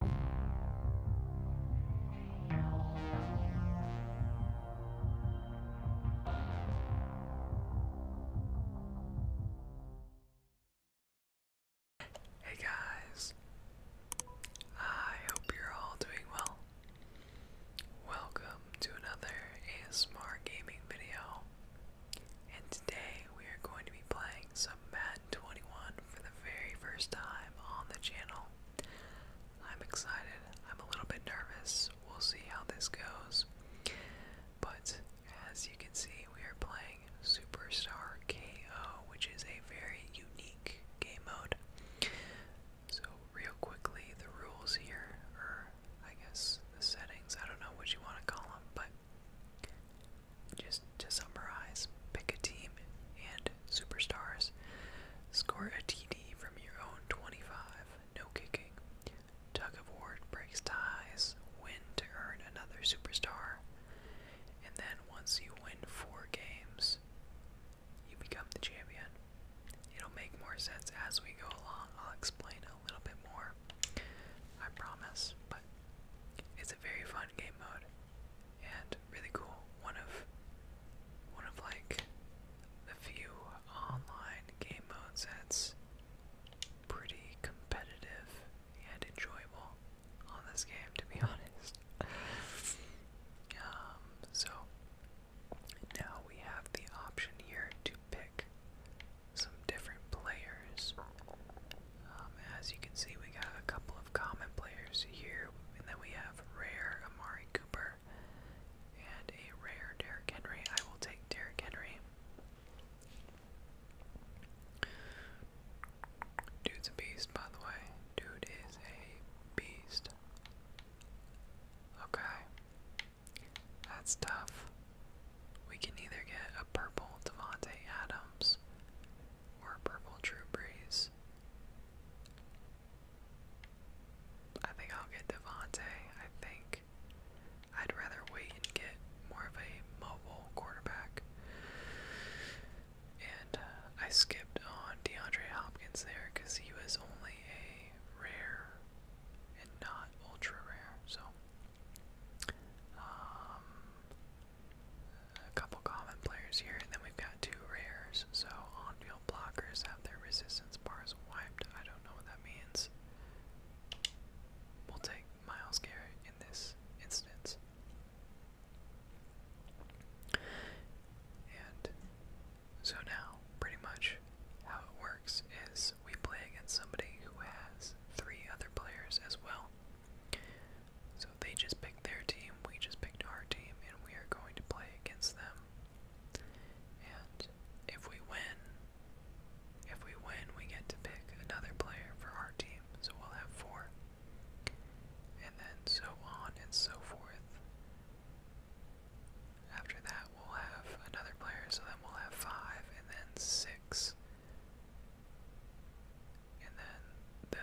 Hey guys, I hope you're all doing well. Welcome to another ASMR gaming video, and today we are going to be playing Madden 21 for the very first time on the channel. I'm excited. I'm a little bit nervous. We'll see how this goes. But as you can see, we are playing Superstar KO, which is a very unique game mode. So, real quickly, the rules here, are I guess the settings, I don't know what you want to call them, but just to summarize, pick a team and superstars. Score a TD from your own 25, no kicking. Tug of War breaks ties, win to earn another superstar. And then once you win four games, you become the champion. It'll make more sense as we go along. I'll explain a little bit more, I promise. But it's very fun game mode and really cool. One of one of like the few online game modes that's pretty competitive and enjoyable on this game to be honest. Um, so now we have the option here to pick some different players um, as you can see, we got a couple of common players here, and then we have rare Amari Cooper and a rare Derrick Henry. I will take Derrick Henry. Dude's a beast, by the way. Dude is a beast. Okay. That's tough. We can either get a purple Devontae Adams or Purple True Breeze. I think I'll get Devontae. I think I'd rather wait and get more of a mobile quarterback. And uh, I skipped on DeAndre Hopkins there because he was only a rare and not ultra rare. So, um, a couple common players here, and then we've got two rares. So on-field blockers have their resistance bars wiped. I don't know what that means. We'll take Miles Garrett in this instance. And so now, pretty much how it works is we play against somebody who has three other players as well. So they just picked their team, we just picked our team, and we are going to play against them. And if we win, if we win, we get to pick another player for our team. So we'll have four. And then so on and so forth. After that, we'll have another player, so then we'll have five, and then six, and then the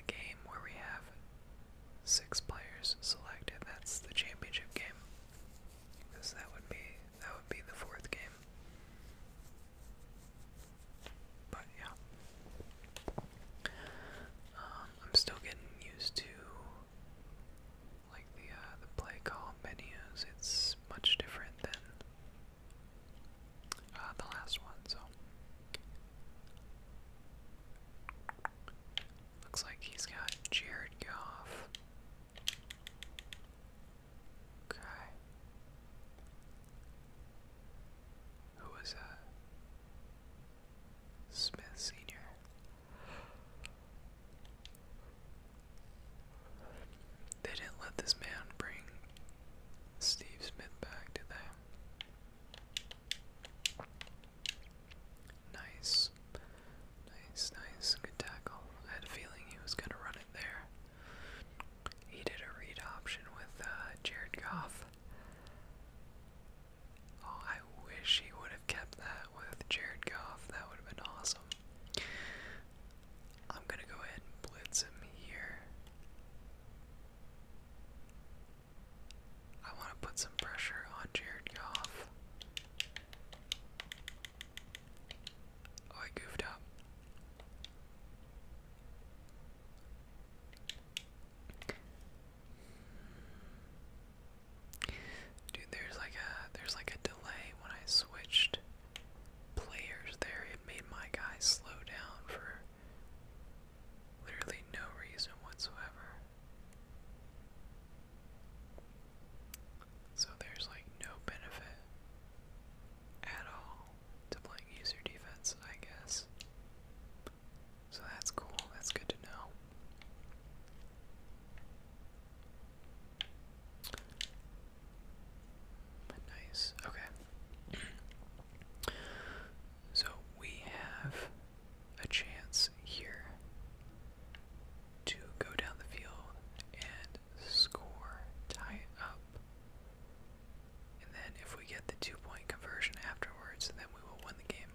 the game where we have six players selected, that's the championship game. Because that would be that would be the fourth game. But yeah. Um, I'm still getting used to like the uh, the play call menus. It's much different than uh, the last one, so looks like he's got Jared Goff. Okay. Who was that? Smith Senior. They didn't let this man bring Steve Smith back, to them. Nice. Nice, nice. Good tackle. I had a feeling he was going to run it there. He did a read option with uh, Jared Goff. Oh, I wish he would have kept that with Jared Goff. That would have been awesome. I'm going to go ahead and blitz him here. I want to put some pressure on Jared Goff. Oh, I goofed up. Dude, there's like a there's like a delay when I switched players there. It made my guy slow down for Literally no reason whatsoever. So there's like no benefit at all to playing user defense, I guess. So that's cool, that's good to know. Nice. Okay. so we have a chance here to go down the field and score, tie it up. And then if we get the two point conversion afterwards, then we will win the game.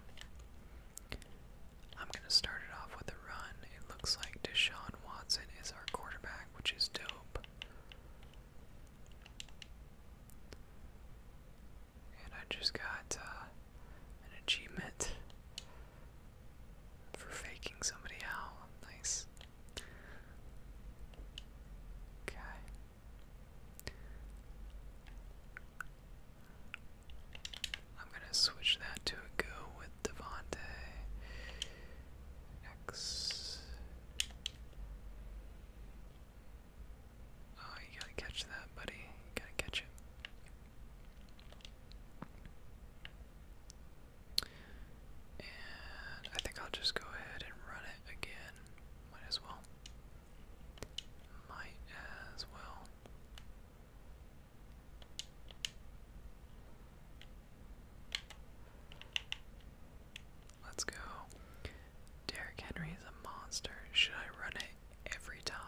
I'm going to start it off with a run. It looks like Deshaun Watson is our quarterback, which is dope. And I just got uh, an achievement for faking somebody out. Nice. Okay. I'm gonna switch that to a go with Devante X Oh, you gotta catch that, buddy. gotta catch it. And I think I'll just go ahead and run it again. Might as well. Might as well. Let's go. Derrick Henry is a monster. Should I run it every time?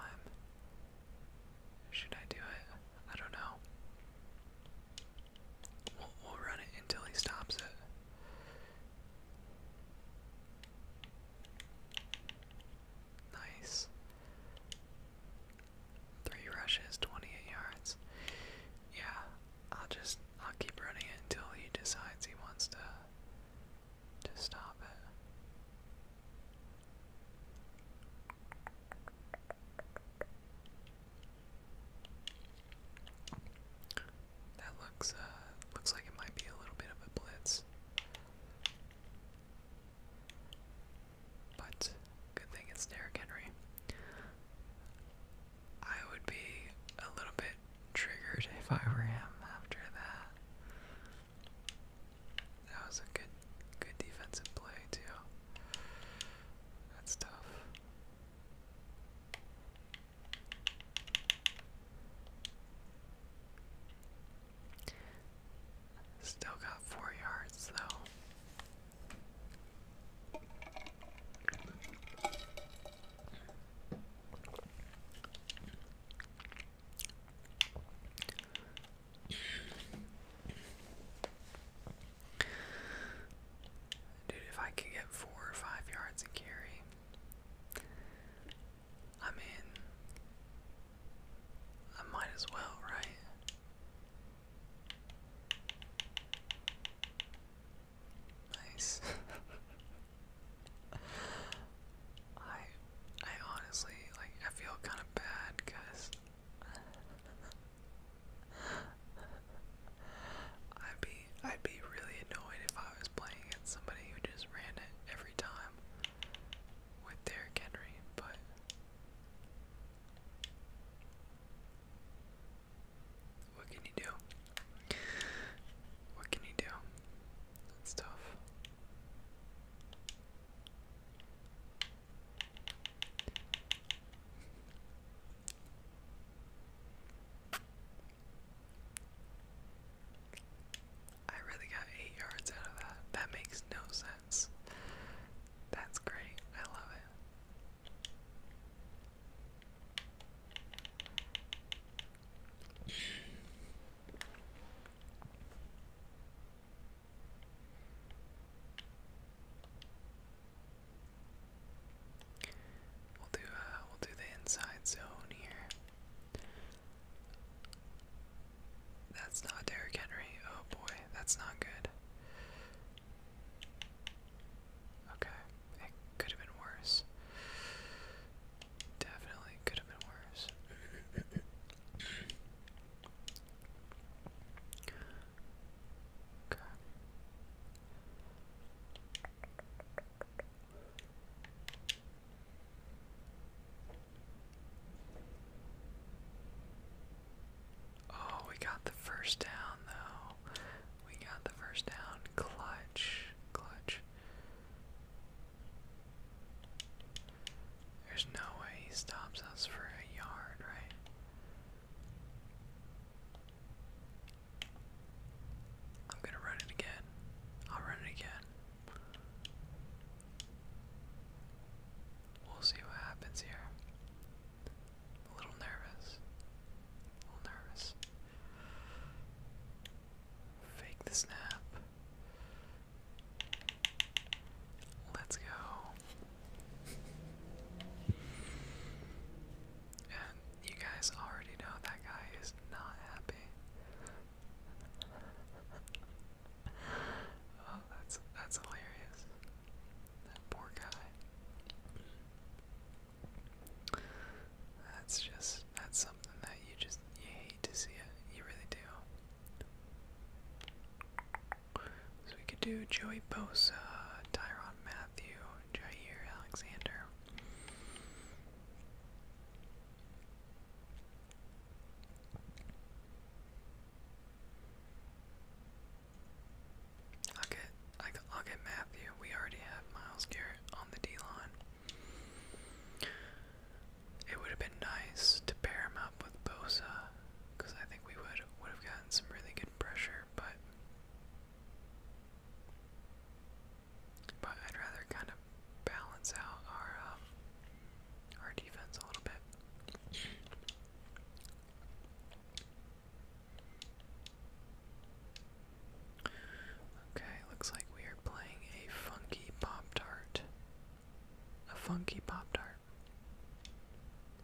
Should I do it? I don't know. We'll, run it until he stops it. Nice. Three rushes, 28 yards. Yeah, I'll just I'll keep running it until he decides he wants to to stop it. That looks uh, looks like it might be a little bit of a blitz. But good thing it's Derrick Henry. I would be a little bit triggered if I were him after that. That was a good good defensive play too. That's tough. Still got four yards though. Dude, if I could get four or five yards of carry, I mean, I might as well, right? Nice. I I honestly like I feel kind of bad because I'd be I'd be really annoyed if I was playing against somebody who just ran it every time with Derrick Henry, but what can you do? What can you do? That's tough. I really got eight yards out of that. That makes no sense. That's great. I love it. We'll do uh, we'll do the inside zone here. That's not Derrick Henry. Oh boy, that's not good. Okay it could have been worse. Definitely could have been worse. Okay. Oh, we got the first down though. We got the first down. Clutch. Clutch. There's no way he stops us for a yard, right? I'm gonna run it again. I'll run it again. We'll see what happens here a little nervous. A little nervous. Fake the snap. Let's go. you guys already know that guy is not happy. oh, that's that's hilarious. That poor guy. That's just that's something that you just you hate to see it. You really do. So we could do Joey Bosa, Tyron Matthew, Jair Alexander. I'll get I will get Matthew. We already have Miles Garrett on the D line. It would have been nice to pair him up with Bosa, because I think we would would have gotten some really good pressure, but but I'd rather kind of balance out our um, our defense a little bit. Okay, looks like we are playing a funky Pop Tart. A funky Pop Tart.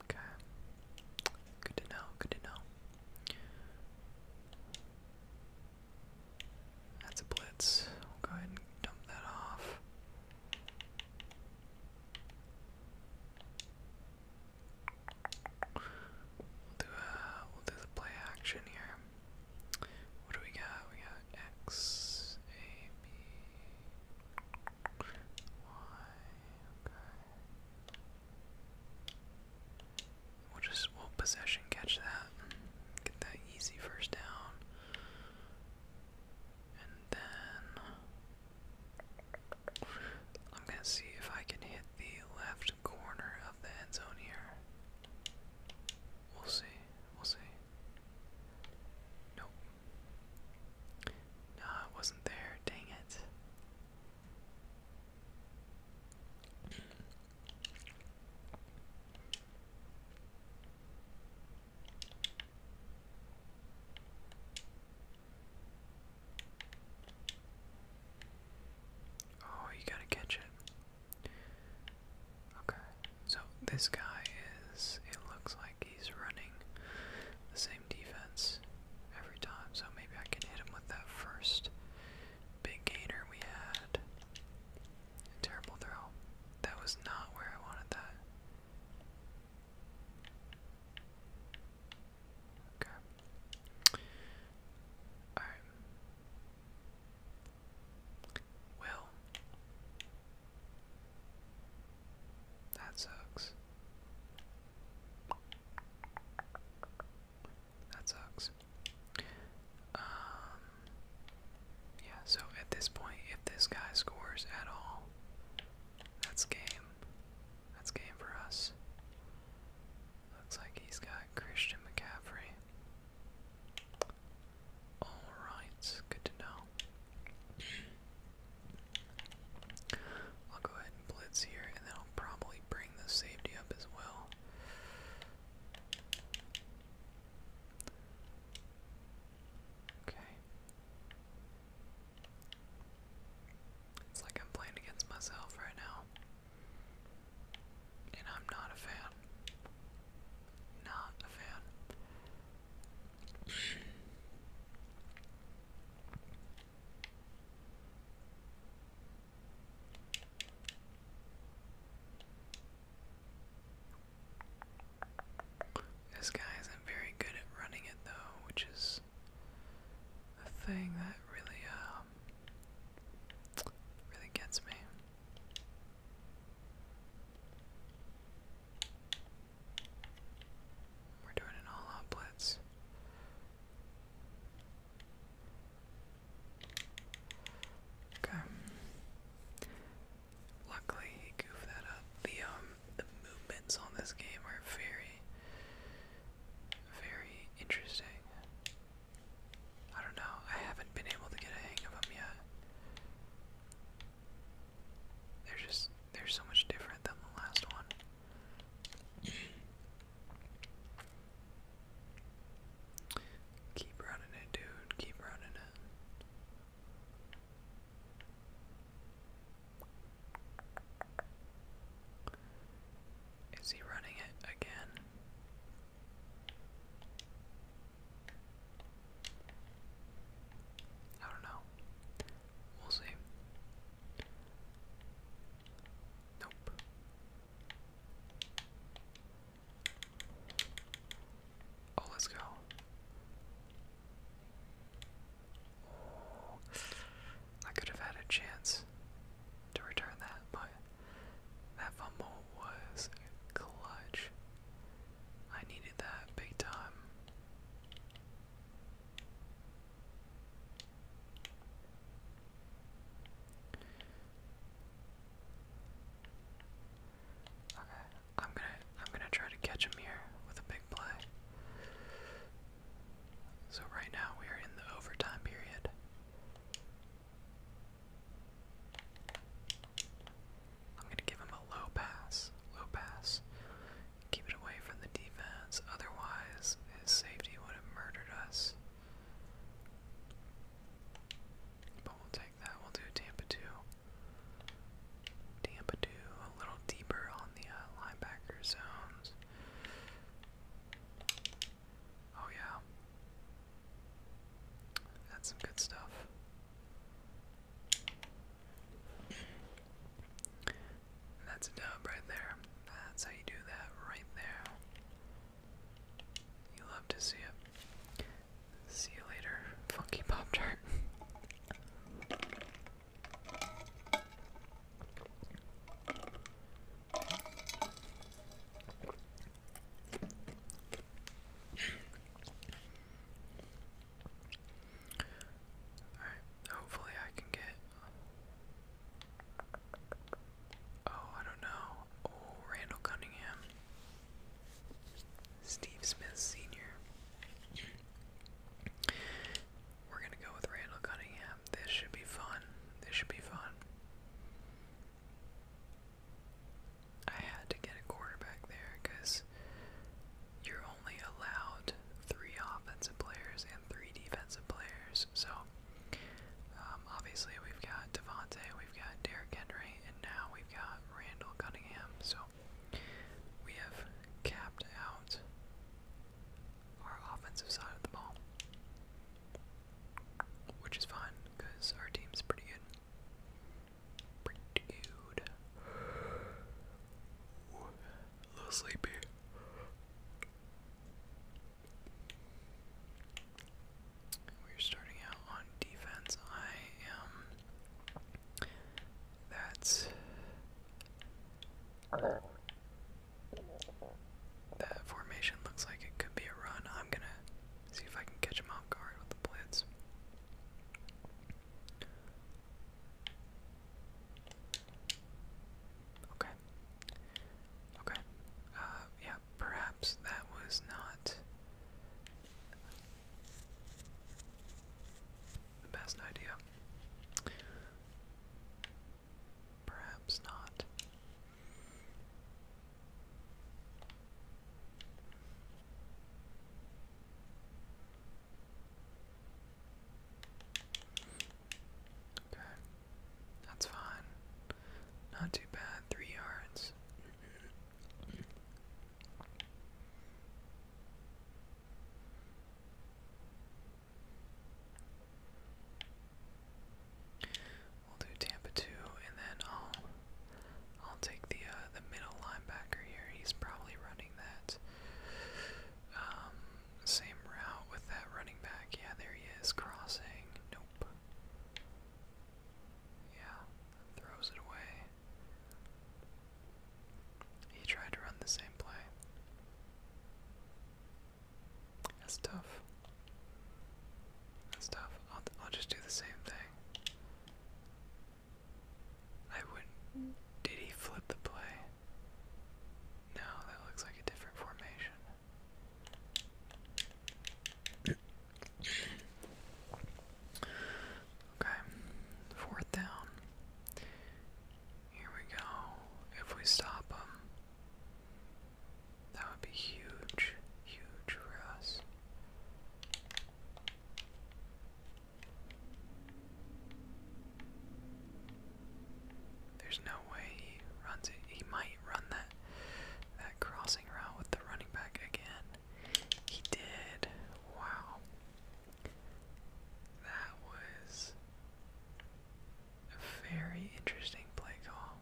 Okay. Good to know, good to know. That's a blitz. go ahead and dump that off. We'll do a uh, we'll do the play action here. What do we got? We got X A B Y okay. We'll just we'll possession catch that. Get that easy first down. And then I'm gonna see if I can hit the left corner of the end zone here. We'll see. We'll see. Nope. No, it wasn't there. Dang it. Oh, you gotta catch it. Okay, so this guy is, it looks like he's running the same defense every time, so maybe I can hit him with that first big gainer we had. terrible throw. That was not where I wanted that. Okay. Alright. Well. That sucks. That sucks. Um yeah, so at this point if this guy scores at all, that's game. That's game for us. Looks like he's got Christian McCaffrey. Alright, good to know. I'll go ahead and blitz here, and then I'll probably bring the safety up as well. Okay. It's like I'm playing against myself right now. And I'm not a fan. Not a fan. This guy isn't very good at running it though, which is a thing that really, um, really gets me. We're doing an all-out blitz. Okay. Luckily, goofed that up. The um, the movements on this game are very, very interesting. I don't know. I haven't been able to get a hang of them yet. They're just they're so much different than the last one. Keep running it, dude. Keep running it. Is he running it again? I don't know. We'll see. Nope. Oh, let's go. I could have had a chance to return that, but that fumble was clutch. I needed that big time. Okay, I'm gonna I'm gonna try to catch him here with a big play. So right now we are in the overtime period. I'm going to give him a low pass. Low pass. Keep it away from the defense. Otherwise, his safety would have murdered us. But we'll take that. We'll do Tampa 2. Tampa 2 a little deeper on the uh, linebacker zones. Oh, yeah. That's some good stuff. that's a dub right there. That's how you do that right there. You love to see it. See you later, Funky Pop Tart. hopefully I can get. Oh, I don't know. Oh, Randall Cunningham. Steve Smith Sr. We're going to go with Randall Cunningham. This should be fun. This should be fun. I had to get a quarterback there because you're only allowed three offensive players and three defensive players. So, um, obviously, we've got Devontae, we've got Derrick Henry, and now we've got Randall Cunningham. So, we have capped out our offensive side of the ball. Which is fine, because our team's pretty good. Pretty good. a little sleepy. We're starting out on defense. I am. That's. That formation looks like it could be a run. I'm gonna see if I can catch him off guard with the blitz. Okay. Okay. Uh, yeah, perhaps that was not the best idea. Perhaps not. Okay. That's fine. Not too bad. Three yards. We'll do Tampa two, and then I'll I'll take the uh, the middle linebacker here. He's probably running that um, same route with that running back. Yeah, there he is crossing. Nope. Yeah, throws it away. He tried to run the same play. That's tough. That's tough. I'll, I'll just do the same thing. I wouldn't. Did he flip the play? No, that looks like a different formation. okay, fourth down. Here we go. If we stop him, that would be huge, huge for us. There's no way he runs it. He might run that that crossing route with the running back again. He did. Wow. That was a very interesting play call.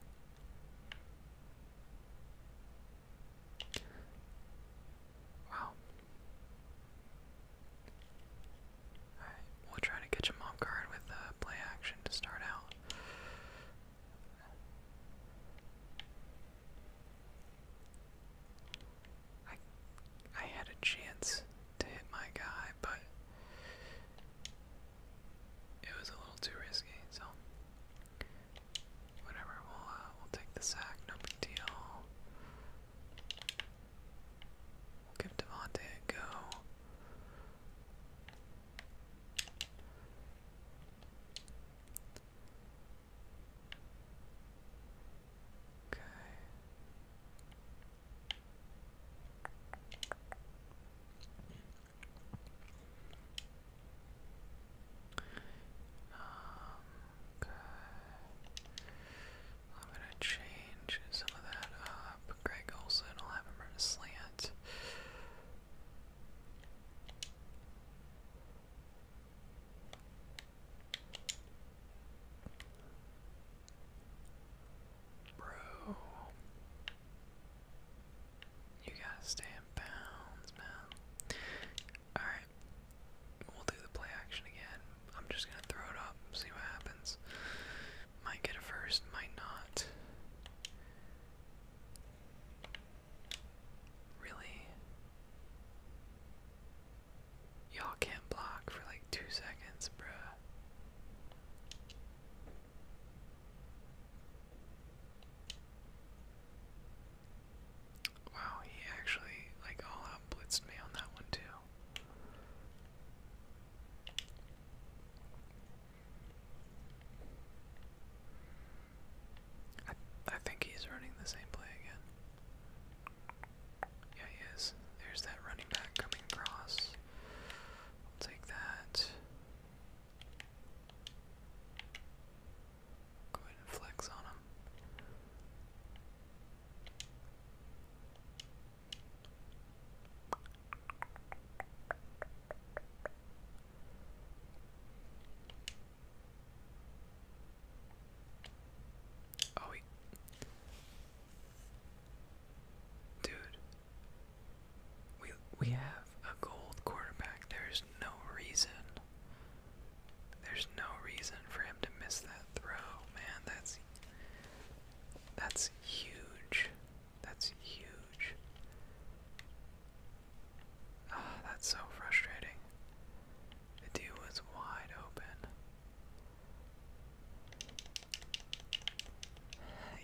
Wow. Alright, we'll try to catch a mom guard with uh, play action to start out. I I had a chance to hit my guy but it was a little too risky, so whatever. We'll uh, we'll take the sack. No big deal. We'll give Devontae a go. Okay. Um, okay. I'm gonna change some of that up. Greg Olson, I'll have him run a slant. Bro. You gotta stay in bounds, man. Alright. We'll do the play action again. I'm just gonna throw it up, see what happens. Might get a first, might not. Really? Y'all can't block for like two seconds, bruh. Wow, he actually like all out blitzed me on that one too. I I think he's running the same play again. Yeah, he is. There's that running back coming across. I'll take that. Go ahead and flex on him. Oh wait. Dude. We we have a gold quarterback. There's no reason. There's no reason for him to miss that throw, man. That's that's huge. That's huge. Ah, that's so frustrating. The dude was wide open.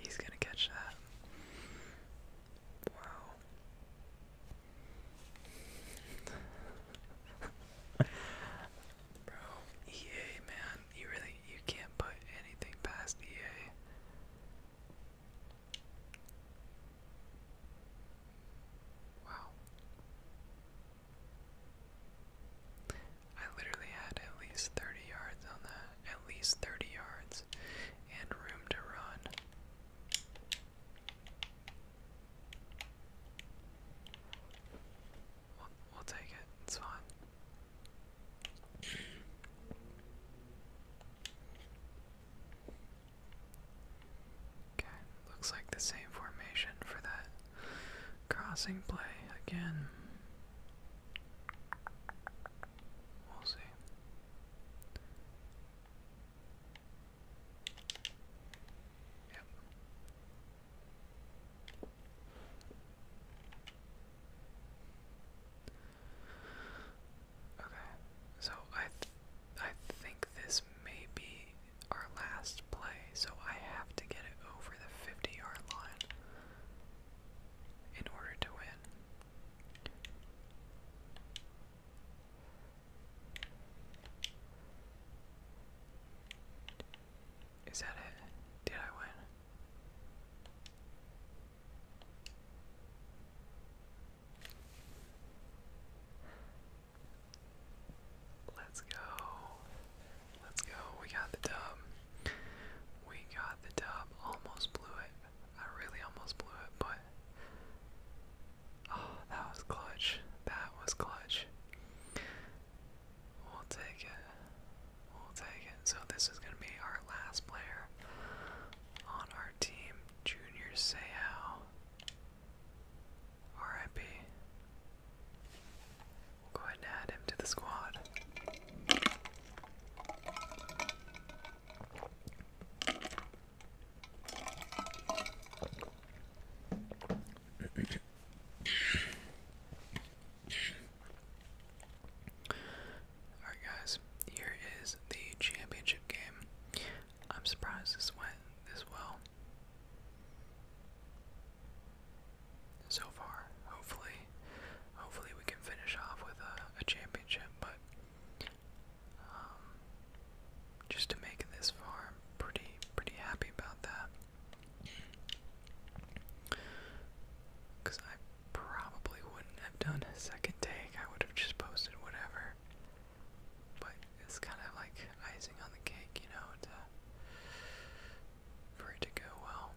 He's gonna catch that. Wow. Bro, EA man, you really you can't put anything past EA. Wow. I literally had at least 30 yards on that. At least 30 yards and room to run. We'll, take it. It's fine. Okay, looks like the same formation for that Crossing play again. We'll see. Yep. Okay, so I, I think this may be our last play, so I have to get it over the 50 yard line in order to win. Is that it? Did I win? Let's go. Let's go. We got the dub. We got the dub. Almost blew it. I really almost blew it, but. Oh, that was clutch. That was clutch. We'll take it. We'll take it. So, this is going to be our last player on our team, Junior Seau. RIP. We'll go ahead and add him to the squad. Alright, guys, here is the championship game. I'm surprised this went this well so far. Hopefully, hopefully we can finish off with a, championship. But um, just to make it this far, I'm pretty pretty happy about that. Cause I probably wouldn't have done a second take. I would have just posted whatever. But it's kind of like icing on the cake, you know, for it to go well.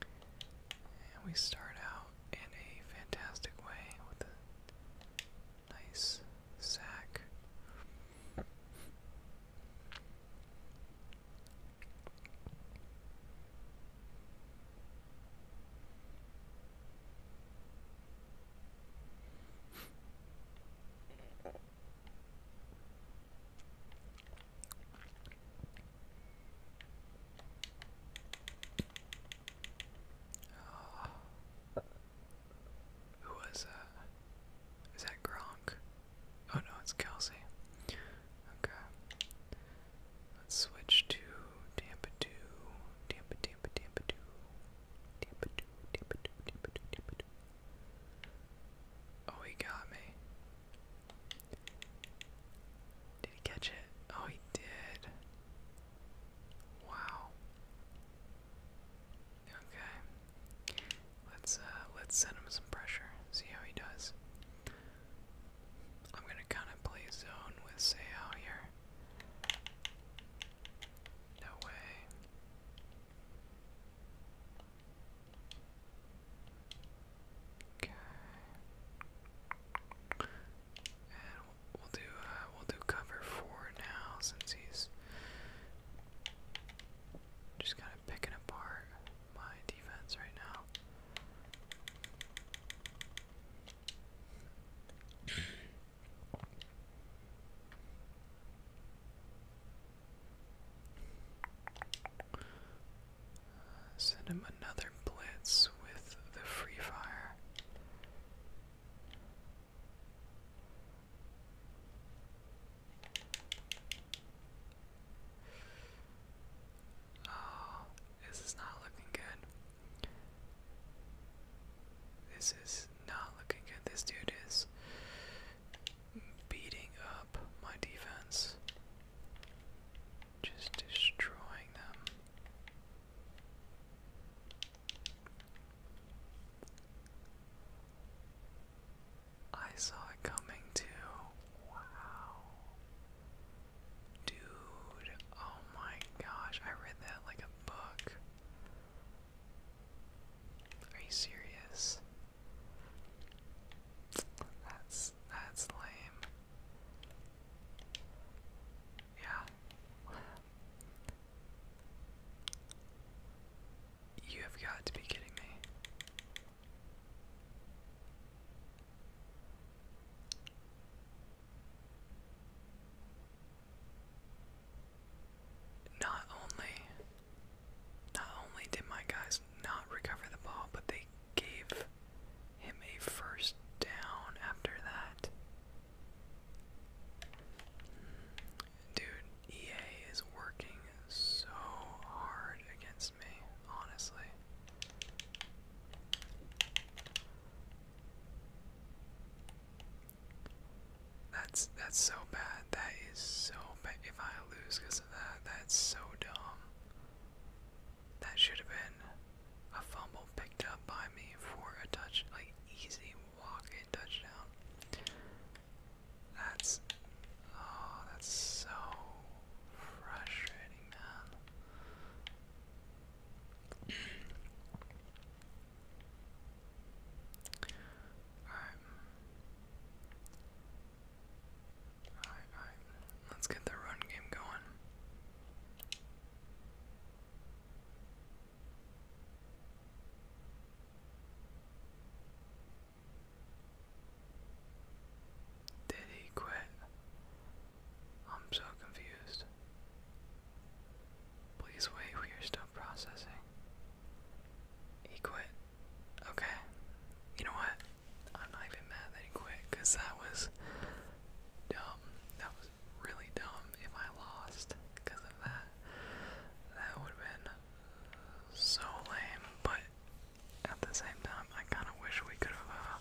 And we start out in a fantastic way with a nice sack. Oh. Who was that? Is that Gronk? Oh no, it's Kelsey. Okay. Let's switch to Tampa 2. Tampa, Tampa, Tampa 2. Oh, he got me. Did he catch it? Oh, he did. Wow. Okay. Let's uh let's send him some pressure. See how he does. I'm gonna kinda play zone with Seo here. No way. Okay. we'll do we'll do cover four now since he's just kind of picking apart my defense right now. Send him another blitz with the free fire. Oh, this is not looking good. This is not looking good. This dude is beating up my defense, just destroying them. I saw it coming too. Wow. Dude, oh my gosh, I read that like a book. Are you serious? That's that's lame. Yeah. You have got to be kidding me not only not only did my guys not recover the ball, but they gave him a first down after that. Dude, EA is working so hard against me, honestly. That's that's so bad. That is so bad. If I lose because of that, that's so dumb. That should have been a fumble picked up by me for a touch, like easy walk-in touchdown. That's oh, that's so frustrating, man. Alright. Alright, Let's get the run game going. Did he quit? I'm so confused. Please wait, we are still processing. He quit. Okay. You know what? I'm not even mad that he quit, because that was dumb. That was really dumb if I lost because of that. That would have been so lame, but at the same time, I kind of wish we could have uh,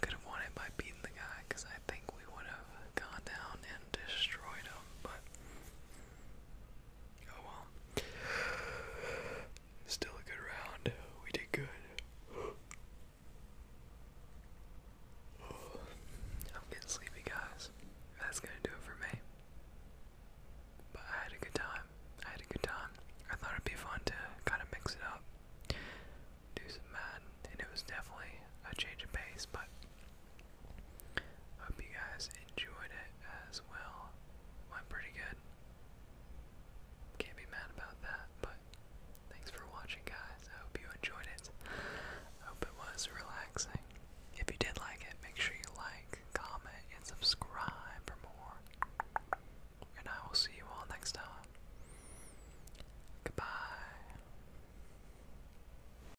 could have won it by beating the guy because I think we would have gone down and destroyed him. But Oh well. Still a good round. We did good. I'm getting sleepy, guys. That's gonna do it for me. But I had a good time. I had a good time. I thought it'd be fun to kind of mix it up, do some Madden, and it was definitely a change of pace, but Hope you guys enjoyed it as well. Went pretty good. Can't be mad about that, but thanks for watching, guys. I hope you enjoyed it. hope it was relaxing. If you did like it, make sure you like, comment, and subscribe for more. And I will see you all next time. Goodbye.